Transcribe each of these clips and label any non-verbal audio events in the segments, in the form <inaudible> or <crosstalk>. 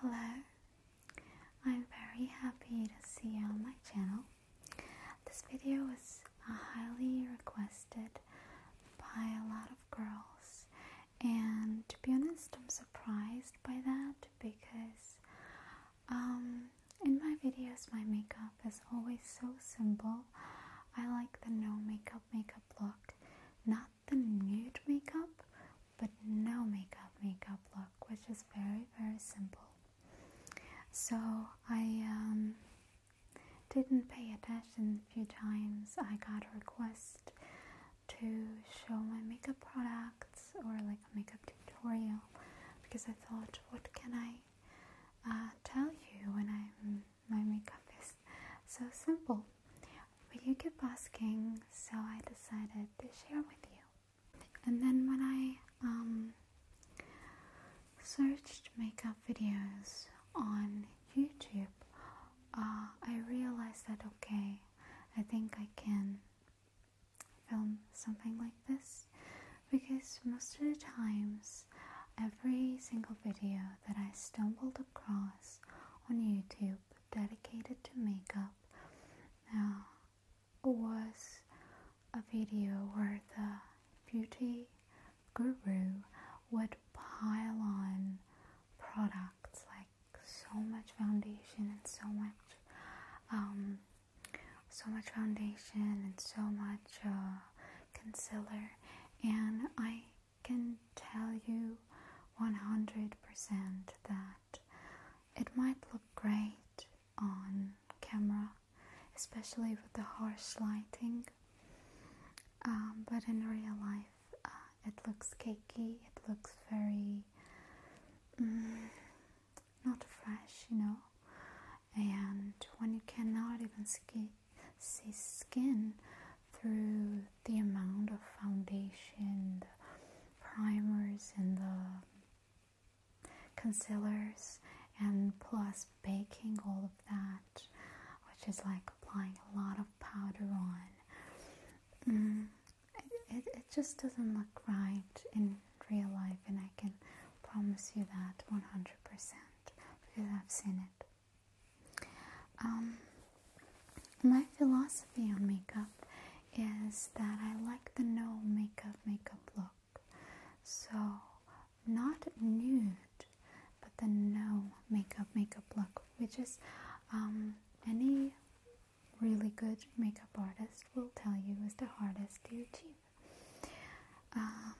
Hello, I'm very happy to see you on my channel. This video was uh, highly requested by a lot of girls, and to be honest, I'm surprised by that because um, in my videos, my makeup is always so simple. I like the no makeup makeup look, not the nude makeup but no makeup makeup look which is very very simple so i um, didn't pay attention a few times i got a request to show my makeup products or like a makeup tutorial because i thought what can i uh, tell you when my makeup is so simple but you kept asking, so I decided to share with you. And then when I um, searched makeup videos on YouTube, uh, I realized that okay, I think I can film something like this because most of the times, every single video that I stumbled across on YouTube dedicated to makeup Now, was a video where the beauty guru would pile on products like so much foundation and so much um, so much foundation and so much uh, concealer and I can tell you 100% that it might look great on camera, especially with the harsh lighting, um, but in real life uh, it looks cakey, it looks very mm, not fresh, you know. And when you cannot even see skin through the amount of foundation, the primers, and the concealers, and plus baking all of that, which is like applying a lot of powder on. Mm, it, it just doesn't look right in real life, and I can promise you that 100% because I've seen it. Um, my philosophy on makeup is that I like the no makeup makeup look. So, not nude, but the no makeup makeup look, which is um, any really good makeup artist will tell you is the hardest to achieve. Um,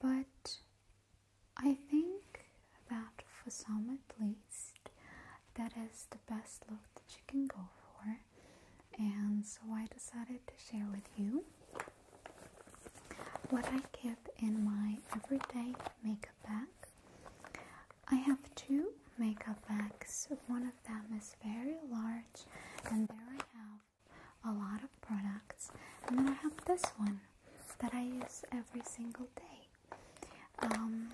but I think that for some at least, that is the best look that you can go for. And so I decided to share with you what I keep in my everyday makeup bag. I have two makeup bags. One of them is very large, and there I have a lot of products. And then I have this one that I use every single day. Um,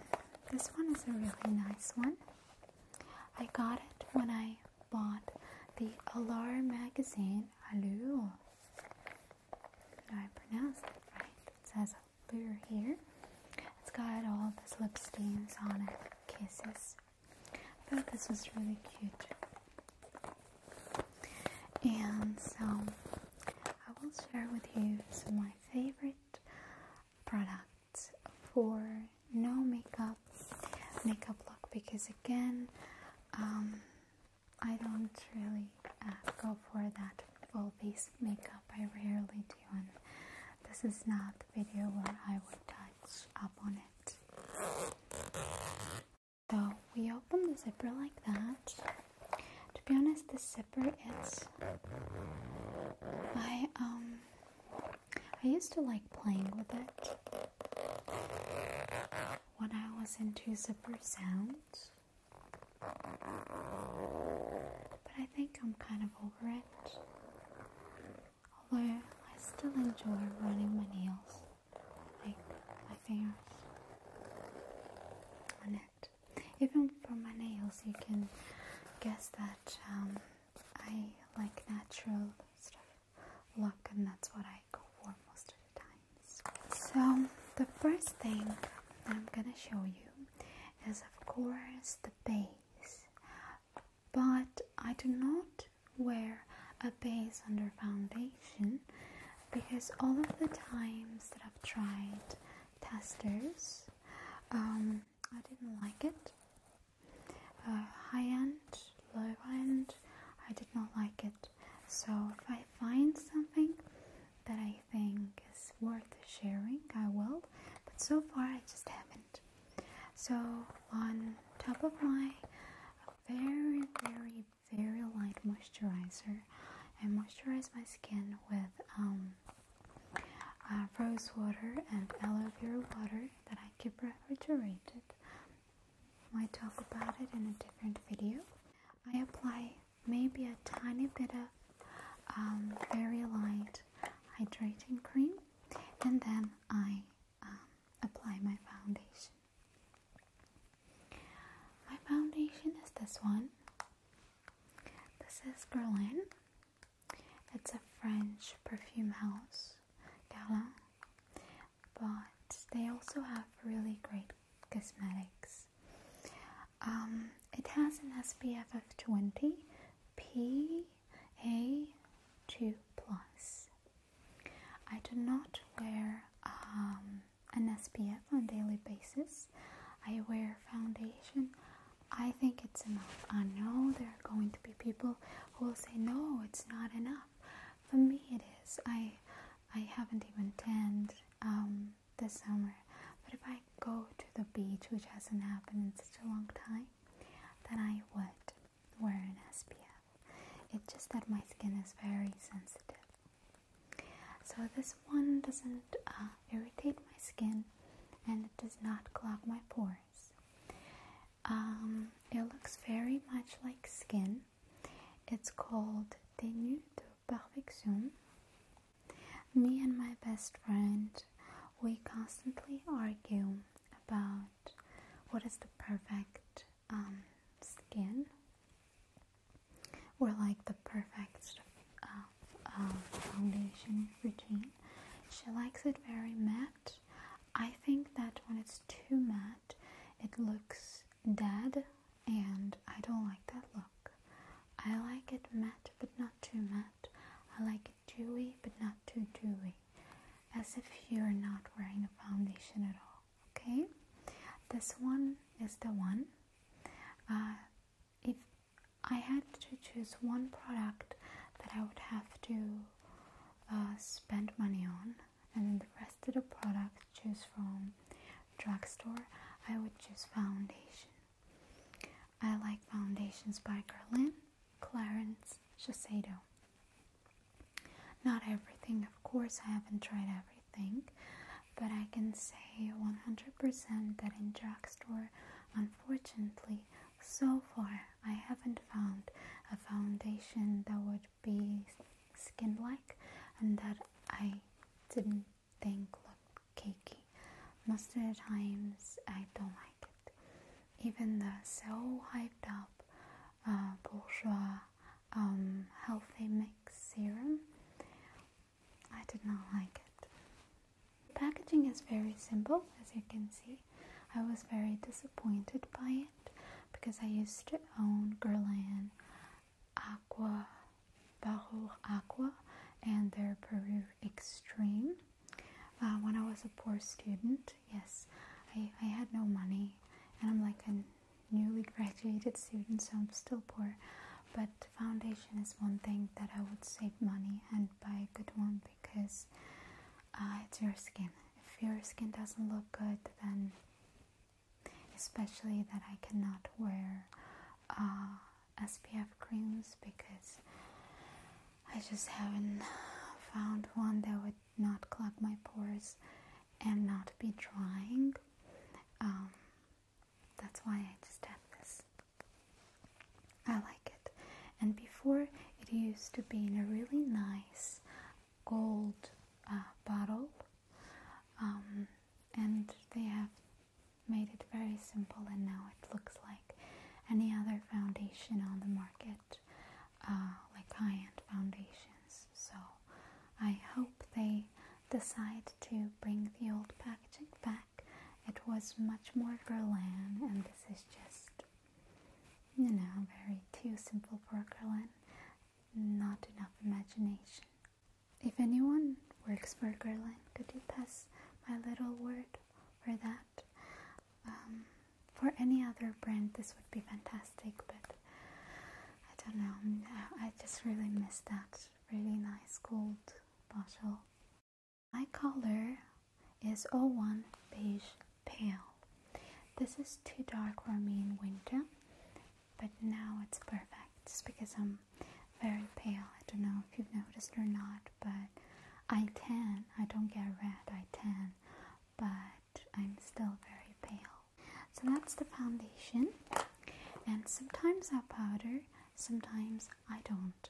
this one is a really nice one. I got it when I bought the *Alarm magazine. *Alu*. Allure. I pronounce it right. It says *Alu* here. It's got all the slip stains on it, kisses. I thought this was really cute. And so I will share with you some of my favorite products for no makeup makeup look because again um, I don't really uh, go for that full face makeup I rarely do and this is not the video where I would touch up on it so we open the zipper like that to be honest, the zipper is. I um I used to like playing with it when I was into zipper sounds. But I think I'm kind of over it. Although I still enjoy running my nails, like my fingers on it. Even for my nails, you can guess that um, I like natural sort look, and that's what I go for most of the times. So the first thing I'm gonna show you is, of course, the base, but I do not wear a base under foundation because all of the times that I've tried testers, um, I didn't like it. Uh, high end, low end, I did not like it. So if I find something that I think is worth sharing, I will. But so far, I just haven't. So on top of my very, very, very light moisturizer, I moisturize my skin with um, uh, rose water and aloe vera water that I keep refrigerated. I might talk about it in a different video. I apply maybe a tiny bit of um, very light hydrating cream and then I um, apply my foundation. My foundation is this one. This is Guerlain it's a French perfume house, Guerlain, but they also have really great cosmetics. Um, it has an SPF of 20 PA2+. plus. I do not wear um, an SPF on daily basis. I wear foundation I think it's enough. I know there are going to be people who will say, no, it's not enough. For me, it is. I, I haven't even tanned um, this summer. But if I go to the beach, which hasn't happened in such a long time, then I would wear an SPF. It's just that my skin is very sensitive. So this one doesn't uh, irritate my skin, and it does not clog my pores. Um, it looks very much like skin. It's called Tenue de Perfection. Me and my best friend, we constantly argue about what is the perfect um, skin. We're like the perfect um, um, foundation routine. She likes it very matte. I think that when it's too matte, it looks dead, and I don't like that look. I like it matte but not too matte. I like it dewy but not too dewy, as if you're not wearing a foundation at all. Okay, this one is the one. Uh, if I had to choose one product that I would have to uh, spend money on, and then the rest of the products choose from drugstore. I would choose foundation. I like foundations by Guerlain, Clarence, Shiseido. Not everything, of course, I haven't tried everything, but I can say 100% that in drugstore Unfortunately, so far I haven't found a foundation that would be skin like and that I didn't think looked cakey. Most of the times I don't like it. Even the so hyped up uh, bourgeois um, healthy mix serum I did not like it. The packaging is very simple, as you can see. I was very disappointed by it because I used to own Guerlain Aqua Barrour Aqua and their Peru Extreme. Uh, when I was a poor student, yes, I had no money and I'm like a newly <laughs> graduated student, so I'm still poor. But foundation is one thing that I would save money and buy a good one because uh, it's your skin. If your skin doesn't look good, then especially that I cannot wear uh, SPF creams because I just haven't found one that would not clog my pores and not be drying. Um, that's why I just have this. I like it. And before it used to be in a really nice gold uh, bottle, um, and they have made it very simple, and now it looks like any other foundation on the market, uh, like high end foundations. So I hope they decide to bring the old packaging back it was much more Guerlain, and this is just, you know, very too simple for Guerlain. Not enough imagination. If anyone works for Guerlain, could you pass my little word for that? Um, for any other brand, this would be fantastic, but I don't know. I just really miss that really nice gold bottle. My color is 01 beige pale. This is too dark for me in winter, but now it's perfect. It's because I'm very pale. I don't know if you've noticed or not, but I tan. I don't get red, I tan, but I'm still very pale. So that's the foundation. And sometimes I powder, sometimes I don't.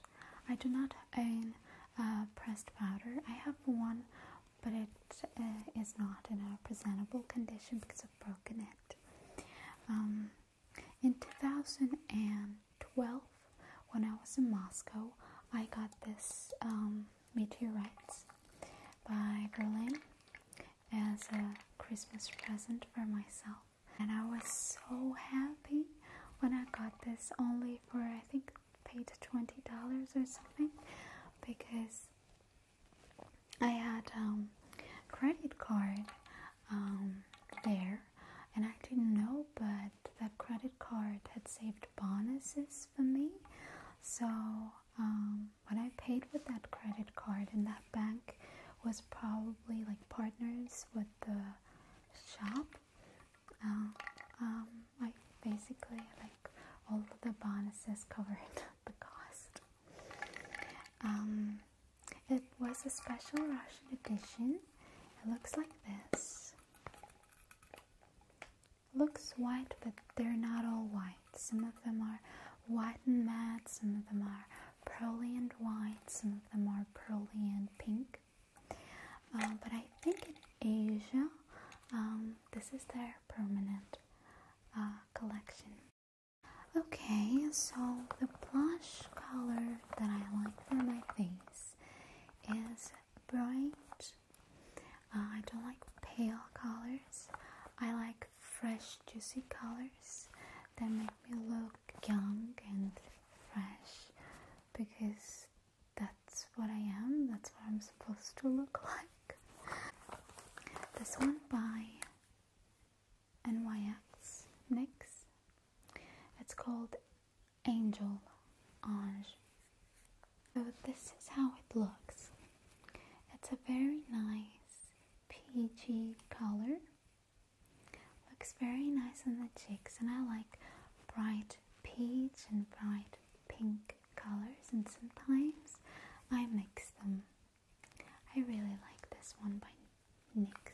I do not own pressed powder. I have one, but it uh, is not in a presentable condition because I've broken it. Um, in 2012, when I was in Moscow, I got this um, meteorites by Berlin as a Christmas present for myself and I was so happy when I got this only for I think paid twenty dollars or something because I had um credit card um, there and I didn't know but that credit card had saved bonuses for me so um when I paid with that credit card in that bank was probably like partners with the shop Oh, um, basically like all of the bonuses covered <laughs> the cost. Um, it was a special Russian edition. It looks like this. Looks white, but they're not all white. Some of them are white and matte, some of them are pearly and white, some of them are pearly and pink. Um, but I think in Asia, um, this is their permanent uh, collection. Okay, so the blush color that I like for my face is bright. Uh, I don't like pale colors. I like fresh, juicy colors that make me look young and fresh because that's what I am, that's what I'm supposed to look like. This one by NYX NYX. It's called Angel Ange. So this is how it looks. It's a very nice peachy color. Looks very nice on the cheeks, and I like bright peach and bright pink colors, and sometimes I mix them. I really like this one by NYX.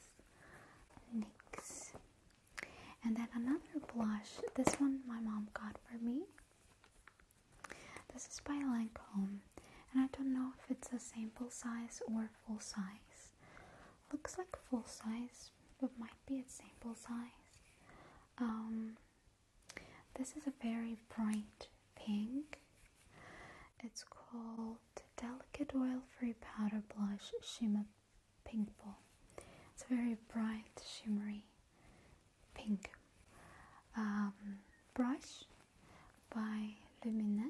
And then another blush. This one my mom got for me. This is by Lancome. And I don't know if it's a sample size or full size. Looks like full size, but might be a sample size. Um, this is a very bright pink. It's called Delicate Oil Free Powder Blush Shimmer Pink Ball. It's very bright, shimmery pink. Um, brush by Lumina.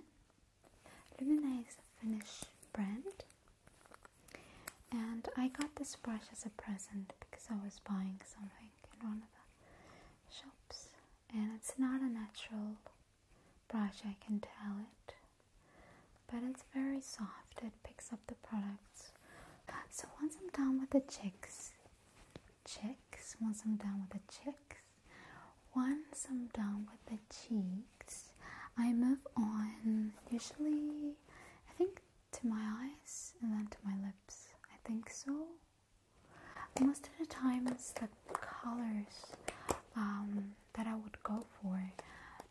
Lumina is Finnish brand, and I got this brush as a present because I was buying something in one of the shops, and it's not a natural brush, I can tell it, but it's very soft, it picks up the products. So once I'm done with the chicks, chicks, once I'm done with the chicks, once I'm done with the cheese. I move on usually, I think, to my eyes and then to my lips. I think so. Most of the times, the colors um, that I would go for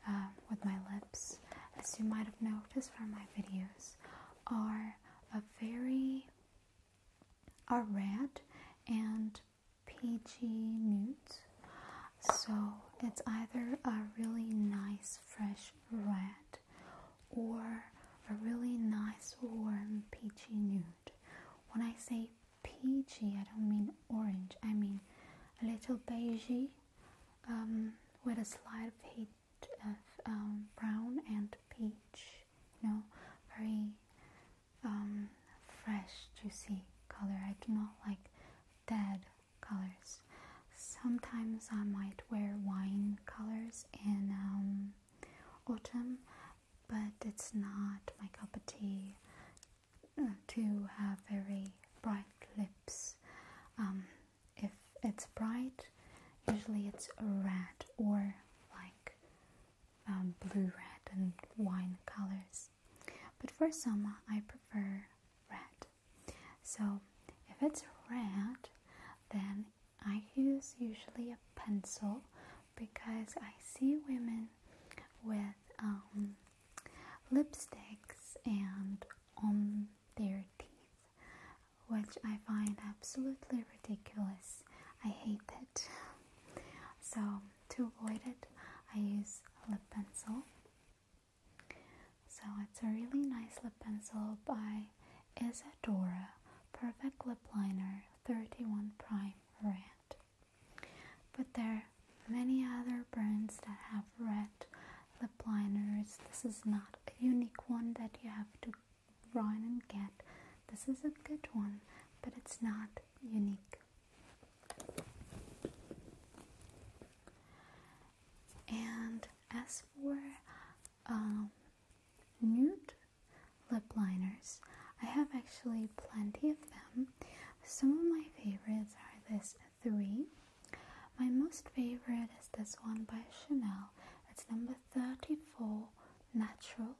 um, with my lips, as you might have noticed from my videos, are a very a red and Peachy Newt. So it's either a really nice fresh red or a really nice warm peachy nude. When I say peachy, I don't mean orange, I mean a little beigey um, with a slight hint of, um, brown and peach, you know, very um, fresh, juicy color. I do not like dead colors. Sometimes I might wear wine colors in um, autumn, but it's not my cup of tea uh, to have very bright lips. Um, if it's bright, usually it's red or like um, blue red and wine colors. But for summer, I prefer red. So if it's red, then I use usually a pencil because I see women with um, lipsticks and on their teeth, which I find absolutely ridiculous. I hate it. <laughs> So to avoid it, I use a lip pencil so it's a really nice lip pencil by Isadora Perfect Lip Liner 31 Prime Red. But there are many other brands that have red lip liners. This is not a unique one that you have to run and get. This is a good one, but it's not unique. And as for um, nude lip liners, I have actually plenty of them. Some of my favorites are this three. My most favorite is this one by Chanel. It's number 34 natural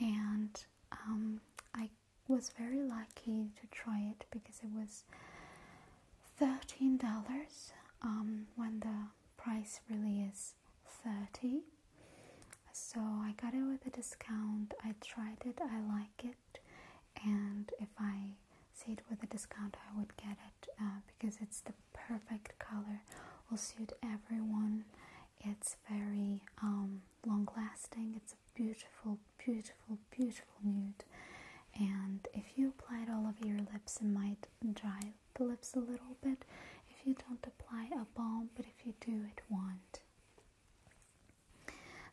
and um, I was very lucky to try it because it was $13 um, when the price really is 30 so I got it with a discount. I tried it, I like it, and if I see it with a discount, I would get it uh, because it's the perfect color, will suit everyone. It's very um, long lasting, it's beautiful, beautiful, beautiful nude. And if you apply it all over your lips, it might dry the lips a little bit. If you don't apply a balm, but if you do, it won't.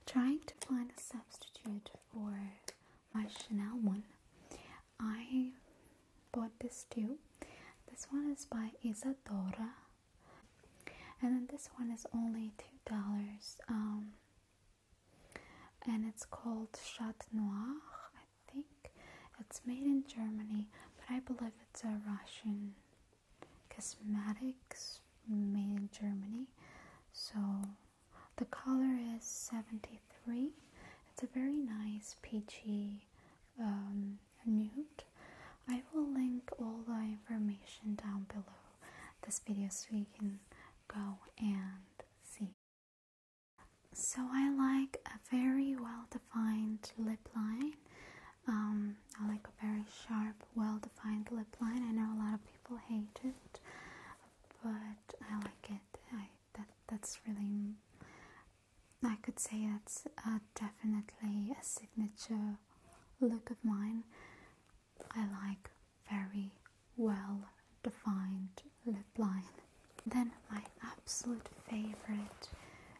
Trying to find a substitute for my Chanel one, I bought this too. This one is by Isadora, and then this one is only two dollars. Um, and it's called Chat Noir, I think. It's made in Germany, but I believe it's a Russian cosmetics made in Germany. So the color is 73. It's a very nice peachy um, nude. I will link all the information down below this video so you can go and see. So I like a very well-defined lip line. Um, I like a very sharp, well-defined lip line. I know a lot of people hate it, but I like it. I that that's really I could say that's definitely a signature look of mine. I like very well defined lip line. Then, my absolute favorite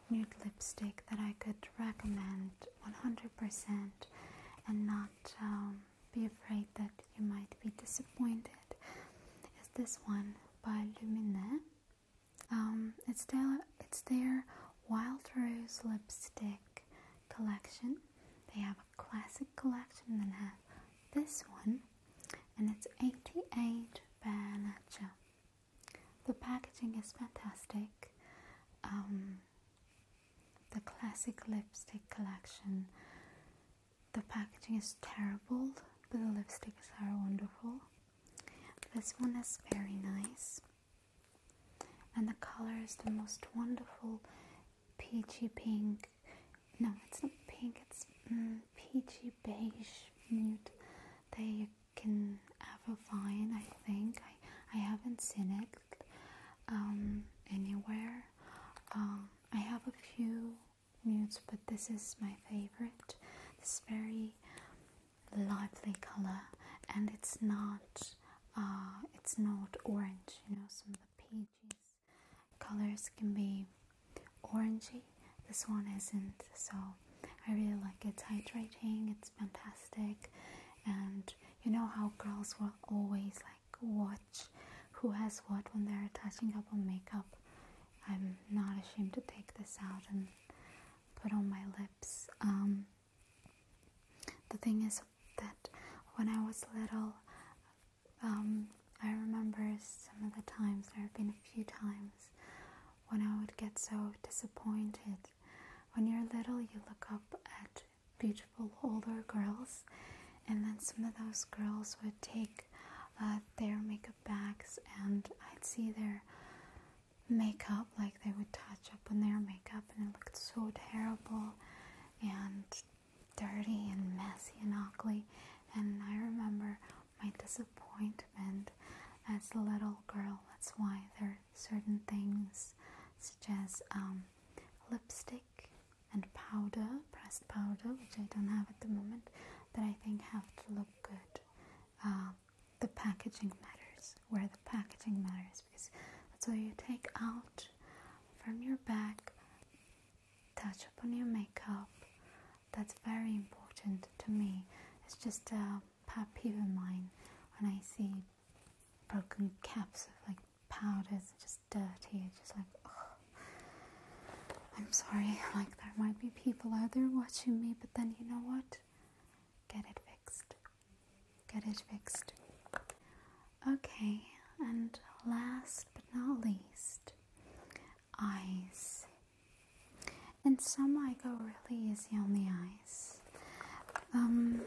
nude lipstick that I could recommend 100% and not um, be afraid that you might be disappointed is this one by Lumine. Um, it's their, it's their Wild Rose lipstick collection. They have classic collection and have this one and it's 88 bare nature. The packaging is fantastic. Um, the classic lipstick collection. The packaging is terrible, but the lipsticks are wonderful. This one is very nice, and the color is the most wonderful peachy pink. No, it's not pink, it's mm, peachy beige mute. They can have a fine, I think. I, I haven't seen it um, anywhere. Um, I have a few nudes, but this is my favorite. This very lively color, and it's not uh, it's not orange. You know, some of the Colors can be orangey. This one isn't, so I really like it. It's hydrating, it's fantastic. And you know how girls will always like watch who has what when they're touching up on makeup. I'm not ashamed to take this out and put on my lips. Um, the thing is, that when I was little, um, I remember some of the times, there have been a few times, when I would get so disappointed. When you're little, you look up at beautiful older girls, and then some of those girls would take uh, their makeup bags, and I'd see their makeup, like they would touch up on their makeup, and it looked so terrible. And dirty and messy and ugly. And I remember my disappointment as a little girl. That's why there are certain things, such as um, lipstick and powder, pressed powder, which I don't have at the moment, that I think have to look good. Uh, the packaging matters, where the packaging matters, because that's why you take out from your back, touch upon your makeup. That's very important to me. It's just a pet peeve of mine when I see broken caps of like powders just dirty. It's just like, I'm sorry, <laughs> like there might be people out there watching me, but then you know what? Get it fixed. Get it fixed. Okay, and last but not least, eyes. And some I go really easy on the eyes. Um,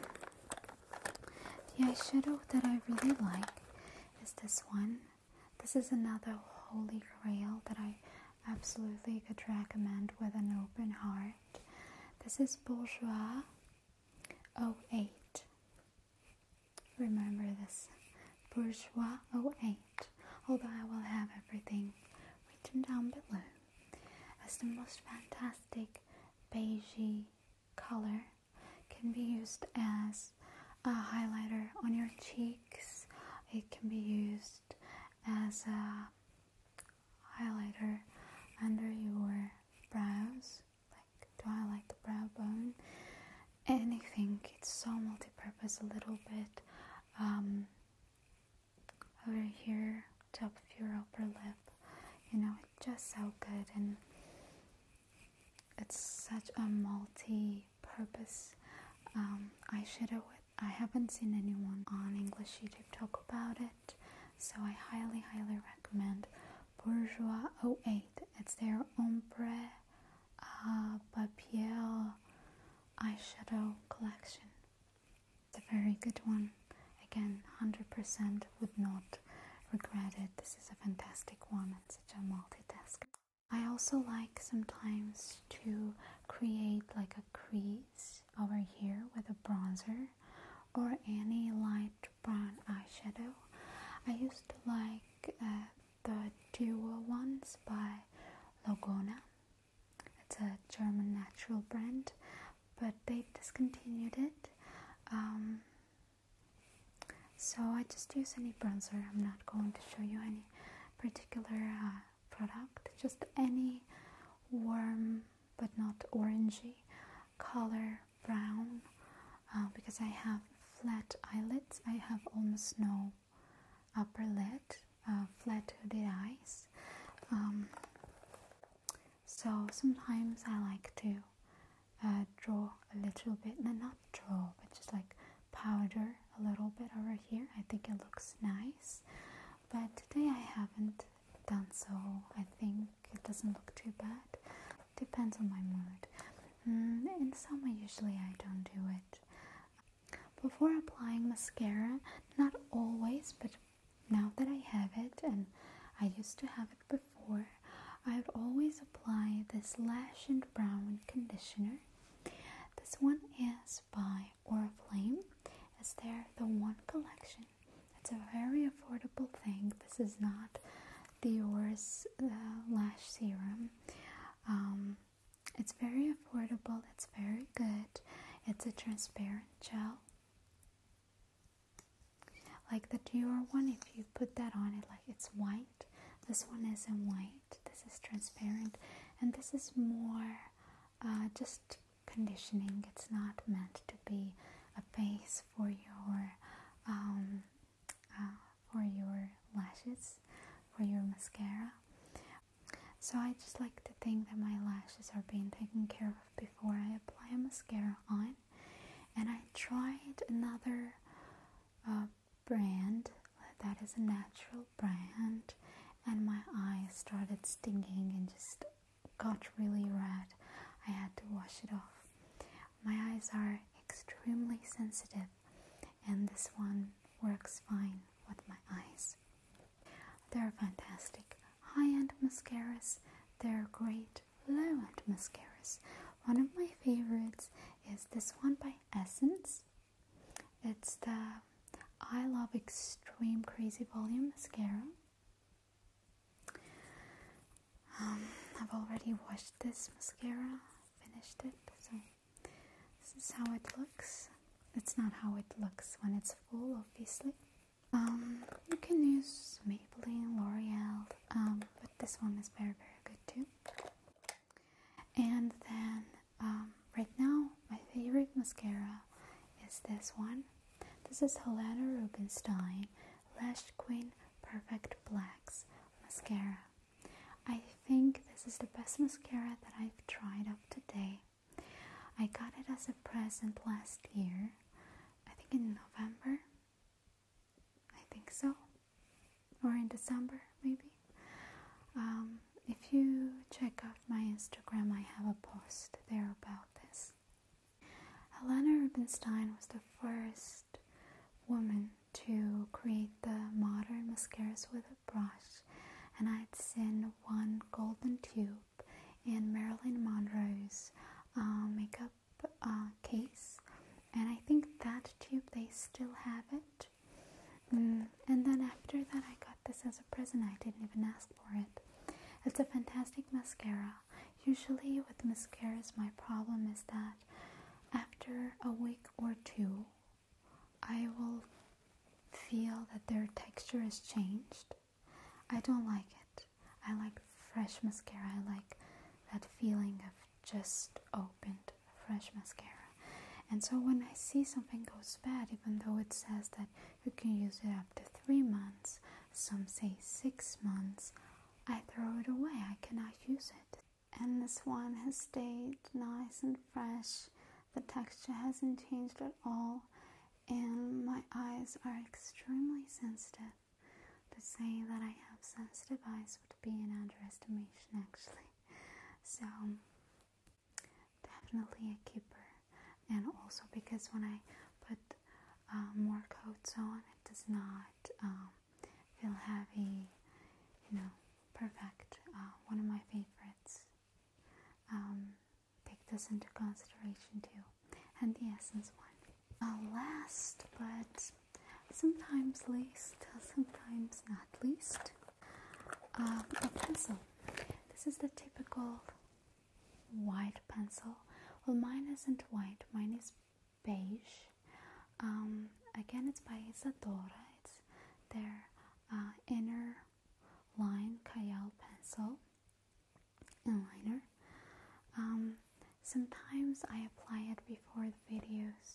the eyeshadow that I really like is this one. This is another holy grail that I absolutely could recommend with an open heart. This is bourgeois. 08. Remember this bourgeois 08, although I will have everything written down below. As the most fantastic beige color can be used as a highlighter on your cheeks, it can be used as a highlighter under your brows like do I like the brow bone? Anything. It's so multi-purpose a little bit. Um, over here, top of your upper lip. You know, it's just so good and it's such a multi-purpose um, eyeshadow. I haven't seen anyone on English YouTube talk about it, so I highly, highly recommend Bourgeois 08. It's their ombre uh, papier eyeshadow collection. It's a very good one. Again, 100% would not regret it. This is a fantastic one and such a multitasker. I also like sometimes to create like a crease over here with a bronzer or any light brown eyeshadow. I used to like uh, the duo ones by Logona. It's a German natural brand, but they've discontinued it. Um, so I just use any bronzer. I'm not going to show you any particular uh, product, just any warm but not orangey color brown uh, because I have flat eyelids. I have almost no upper lid, uh, flat hooded eyes. Um, so sometimes I like to uh, draw a little bit, no, not draw, but just like powder a little bit over here. I think it looks nice, but today I haven't done so. I think it doesn't look too bad. Depends on my mood. Mm, in summer, usually I don't do it. Before applying mascara, not always, but now that I have it, and I used to have it before, I would always apply this Lash and Brown conditioner. This one is by Oriflame. It's their The One collection. It's a very affordable thing. This is not Dior's uh, lash serum. Um, it's very affordable, it's very good. It's a transparent gel. Like the Dior one, if you put that on it, like it's white. This one isn't white, this is transparent, and this is more uh, just conditioning. It's not meant to be a base for your um, for your lashes, for your mascara. So I just like to think that my lashes are being taken care of before I apply a mascara on. And I tried another uh, brand that is a natural brand, and my eyes started stinging and just got really red. I had to wash it off. My eyes are extremely sensitive, and this one works fine with my eyes. They're fantastic high end mascaras, they're great low end mascaras. One of my favorites is this one by Essence. It's the I Love Extreme Crazy Volume Mascara. Um, I've already washed this mascara, finished it, so this is how it looks. It's not how it looks when it's full, obviously. Um, you can use Maybelline, L'Oreal, um, but this one is very, very good too. And then, right now, my favorite mascara is this one. This is Helena Rubinstein Lash Queen Perfect Blacks mascara. I think this is the best mascara that I've tried up to date. I got it as a present last year, I think in November. I think so, or in December maybe. Um, if you check out my Instagram, I have a post there about this. Helena Rubinstein was the first woman to create the modern mascaras with a brush, and I'd seen one golden tube in Marilyn Monroe's uh, makeup uh, case, and I think that tube they still have it. Mm, and then after that, I got this as a present, I didn't even ask for it. It's a fantastic mascara. Usually, with mascaras, my problem is that after a week or two, I will feel that their texture has changed. I don't like it. I like fresh mascara. I like that feeling of just opened fresh mascara. And so when I see something goes bad, even though it says that you can use it up to three months, some say six months, I throw it away, I cannot use it. And this one has stayed nice and fresh, the texture hasn't changed at all, and my eyes are extremely sensitive. To say that I have sensitive eyes would be an underestimation, actually. So, definitely a keeper. And also because when I put uh, more coats on, it does not um, feel heavy, you know, perfect. Uh, one of my favorites. Um, take this into consideration too. And the essence one. The uh, last, but sometimes least, <laughs> sometimes not least, um, a pencil. This is the typical white pencil. Well, mine isn't white, mine is beige. Um, again, it's by Isadora. It's their uh, inner line Cayal pencil and liner. Um, sometimes I apply it before the videos,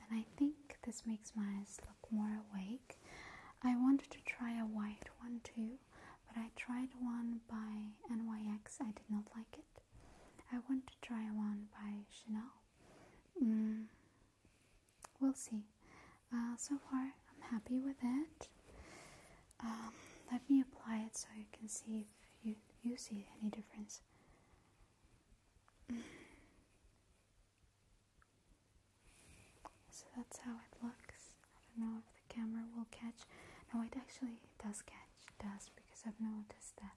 and I think this makes my eyes look more awake. I wanted to try a white one too, but I tried one by NYX. I did not like it. I want to try one by Chanel. Mm, we'll see. Uh, so far, I'm happy with it. Um, let me apply it so you can see if you, you see any difference. So that's how it looks. I don't know if the camera will catch. No, it actually does catch much because I've noticed that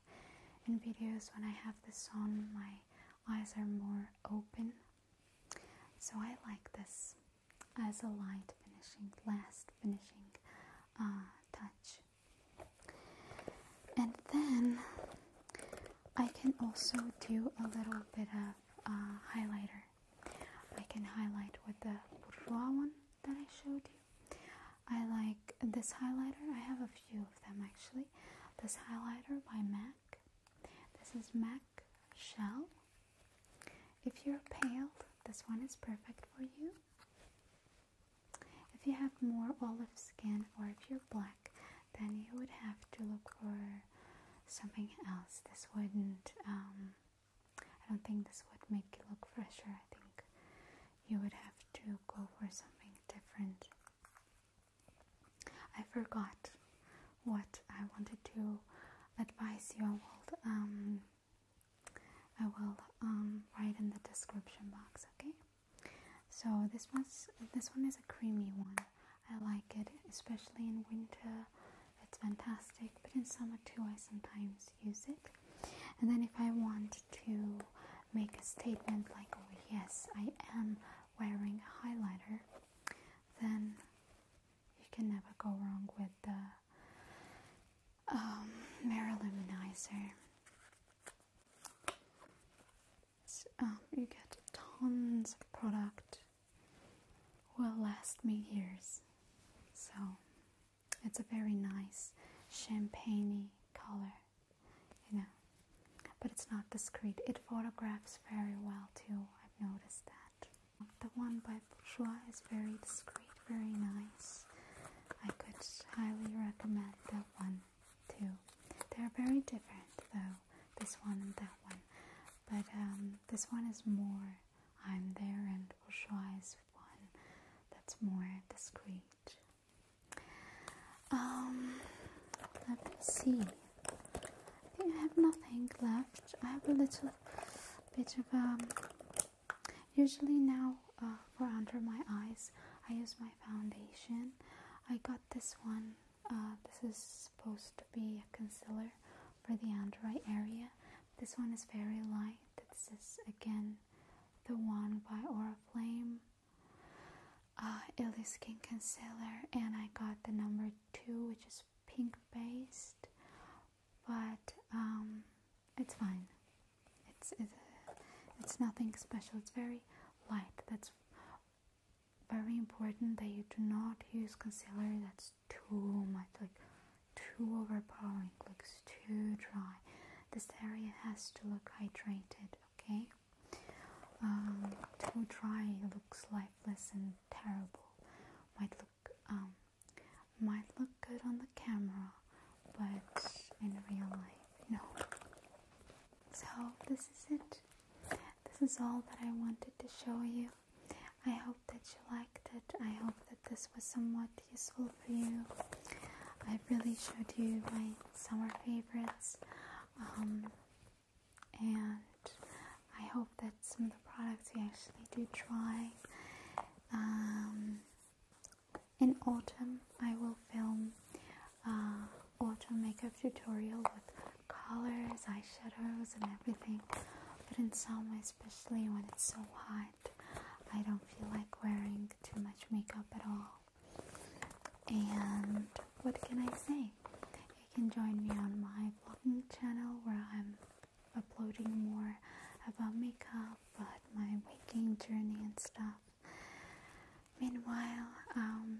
in videos when I have this on, my eyes are more open. So I like this as a light finishing, last finishing uh, touch. And then I can also do a little bit of uh, highlighter. I can highlight with the bourgeois one that I showed you. I like this highlighter. I have a few of them actually. This highlighter by MAC. This is MAC Shell. If you're pale, this one is perfect for you. If you have more olive skin or if you're black, then you would have to look for something else. This wouldn't, um, I don't think this would make you look fresher. I think you would have to go for something different. I forgot what I wanted to advise you. I will, um, I will um, write in the description box. Okay. So this one's this one is a creamy one. I like it, especially in winter. It's fantastic, but in summer too, I sometimes use it. And then if I want to make a statement like, oh yes, I am wearing a highlighter, then you can never go wrong with the um, mirror um, you get tons of product. Will last me years. So. It's a very nice champagne color, you know, but it's not discreet. It photographs very well too. I've noticed that. The one by Bourjois is very discreet, very nice. I could highly recommend that one too. They're very different though, this one and that one. But um, this one is more I'm there and Bourjois is one that's more discreet. Um, let me see. I think I have nothing left. I have a little bit of um. Usually now, uh, for under my eyes, I use my foundation. I got this one. Uh, this is supposed to be a concealer for the under eye area. This one is very light. This is again the one by Oriflame. Uh, Illy Skin Concealer, and I got the number two, which is pink based, but um, it's fine. It's it's nothing special. It's very light. That's very important that you do not use concealer that's too much, like too overpowering looks too dry. This area has to look hydrated, okay? Um, too dry looks lifeless and terrible. Might look um, might look good on the camera, but in real life, no. So this is it. This is all that I wanted to show you. I hope that you liked it. I hope that this was somewhat useful for you. I really showed you my summer favorites, um, and I hope that some of the products you actually do try. Um, in autumn, I will film uh, autumn makeup tutorial with colors, eyeshadows, and everything. But in summer, especially when it's so hot, I don't feel like wearing too much makeup at all. And what can I say? You can join me on my vlogging channel where I'm uploading more about makeup, but my waking journey and stuff. Meanwhile, um,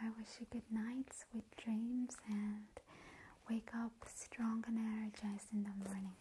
I wish you good nights, with dreams, and wake up strong and energized in the morning.